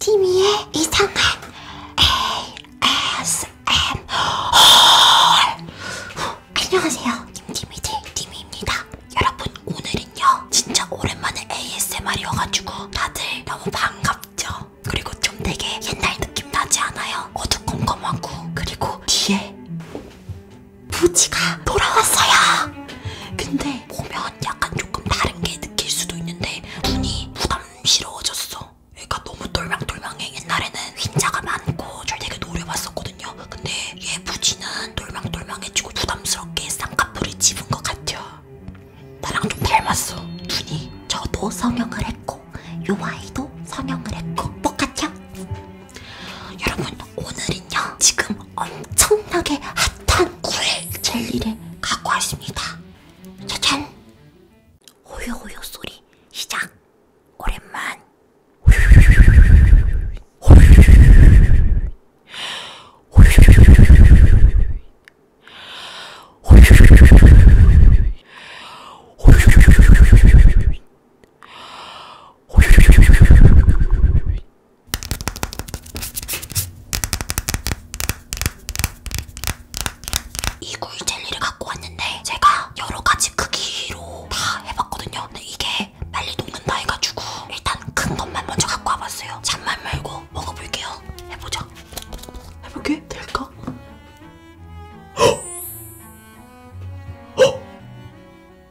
티미의 이상한 ASMR 안녕하세요 팀티미들 티미입니다 여러분 오늘은요 진짜 오랜만에 ASMR이어가지고 다들 너무 반갑죠? 그리고 좀 되게 옛날 느낌 나지 않아요? 어두컴컴하고 그리고 뒤에 부지가 돌아왔어요 근데 보면 약간 조금 다른 게 느낄 수도 있는데 눈이 부담스러워졌어. 얘가 너무 똘망똘망해. 옛날에는 흰자가 많고 줄 되게 노려봤었거든요. 근데 얘 부지는 똘망똘망해지고 부담스럽게 쌍꺼풀이 집은 것 같아. 나랑 좀 닮았어. 눈이. 저도 성형을 했고 요 아이도 성형을 했고 똑같아. 뭐 여러분 오늘은요. 지금 엄청나게 핫한 꿀 젤리를 갖고 왔습니다. 짜잔! 호요호요 소리 시작! 오랜만! 이 구이 젤리를 갖고 왔는데 제가 여러 가지 크기로 다 해봤거든요. 근데 이게 빨리 녹는다 해가지고 일단 큰 것만 먼저 갖고 와봤어요. 잠만 말고 먹어볼게요. 해보자. 해볼게. 될까?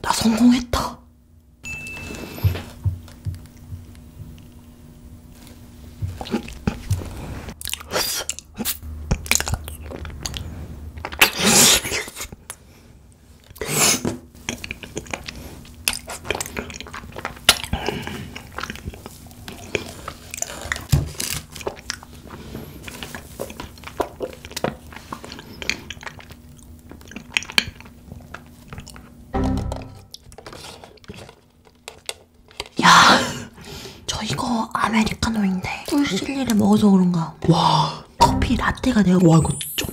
나 성공했다. 야, 저 이거 아메리카노인데 꿀실리를 음. 먹어서 그런가. 와, 커피 라떼가 내가 와 이거 쫀다.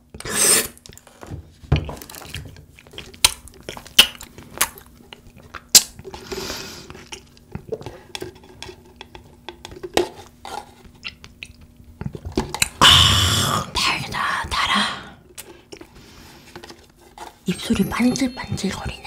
아, 달다, 달아. 입술이 반질반질거리네.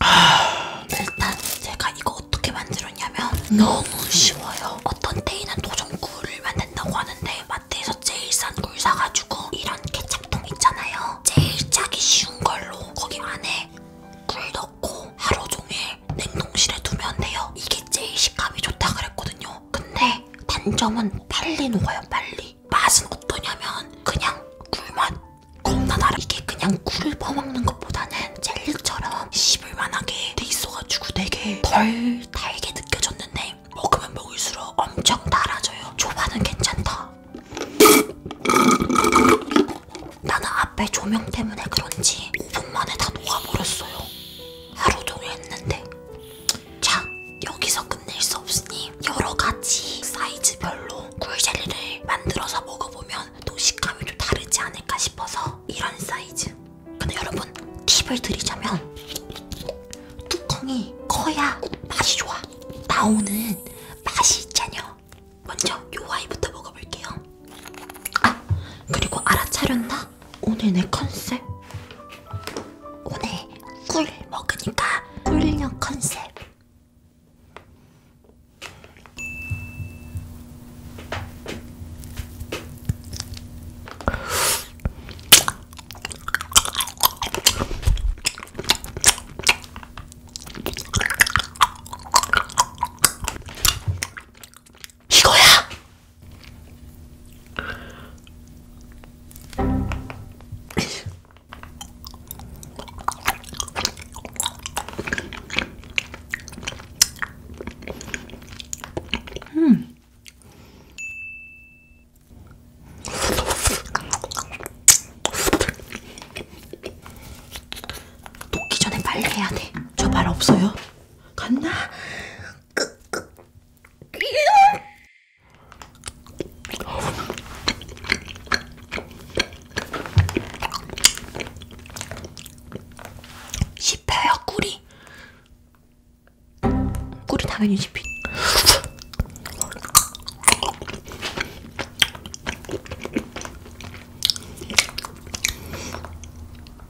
하... 아, 일단 제가 이거 어떻게 만들었냐면 너무 쉬워요. 어떤 데이는 도전 굴을 만든다고 하는데 마트에서 제일 싼굴 사가지고 이런 케찹통 있잖아요. 제일 짜기 쉬운 걸로 거기 안에 굴 넣고 하루 종일 냉동실에 두면 돼요. 이게 제일 식감이 좋다 그랬거든요. 맛있어요. 근데 단점은 빨리 녹아요, 빨리. 맛은 어떠냐면 그냥 꿀맛. 겁나 달아. 이게 그냥 꿀을 퍼먹는 것보다는 젤리처럼 씹을만하게 돼 있어가지고 되게 덜 달게 느껴졌는데 먹으면 먹을수록 엄청 달아져요. 초반은 괜찮다. 나는 앞에 조명 때문에 그런지 5분 만에 다 녹아버렸어요. 하루 종일 했는데 자, 여기서 끝낼 수 없으니 여러 가지 사이즈별로 꿀젤리를 만들어서 먹어보면 또 식감이 좀 다르지 않을까 싶어서 이런 사이즈. 근데 여러분 팁을 드리자면 뚜껑이 커야 맛이 좋아. 나오는 맛이 있잖여. 먼저 요 아이부터 먹어볼게요. 아, 그리고 알아차렸나? 오늘 내 컨셉 오늘 꿀 먹으니까 꿀형 컨셉 이거야. 음. 녹기 전에 빨리 해야 돼. 저말 없어요? 간다. 씹혀요 꿀이. 꿀이 당연히 씹히.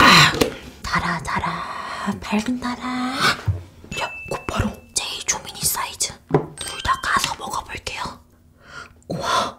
아, 달아 달아 밝은 달아 야 곧바로 제이 조미니 사이즈 둘 다 가서 먹어볼게요 우와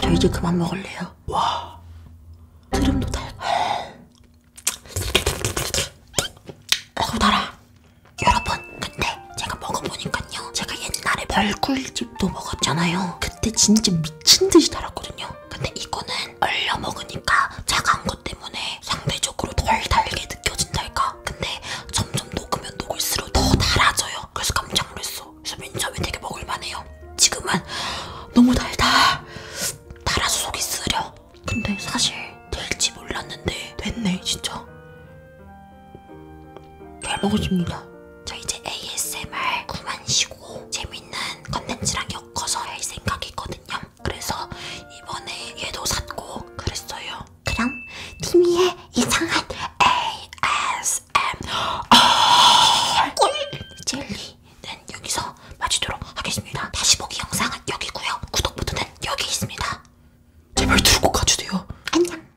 저 이제 그만 먹을래요. 와. 트름도 달. 아고 어, 달아. 여러분, 근데 제가 먹어보니까요. 제가 옛날에 벌꿀즙도 먹었잖아요. 그때 진짜 미친 듯이 달았거든요. 근데 이거는 얼려 먹으니까 차가운 것 때문에 상대적으로 덜 달게 느껴진달까? 근데 점점 녹으면 녹을수록 더 달아져요. 그래서 깜짝 놀랐어. 그래서 맨 처음에 되게 먹을만해요. 지금은 너무 달다. 달아서 속이 쓰려. 근데 사실 될지 몰랐는데 됐네 진짜. 잘 먹어집니다. 저 이제 ASMR 그만 쉬고 해가지고 재밌는 컨텐츠랑 엮어서 할 생각이거든요. 그래서 이번에 얘도 샀고 그랬어요. 그럼 티미의 이상한 ASMR 젤리는 여기서 마치도록 하겠습니다. 다시 보기 영상은 여기고요. 구독 버튼은 여기 있습니다. 제발 들고 가주세요. 안녕.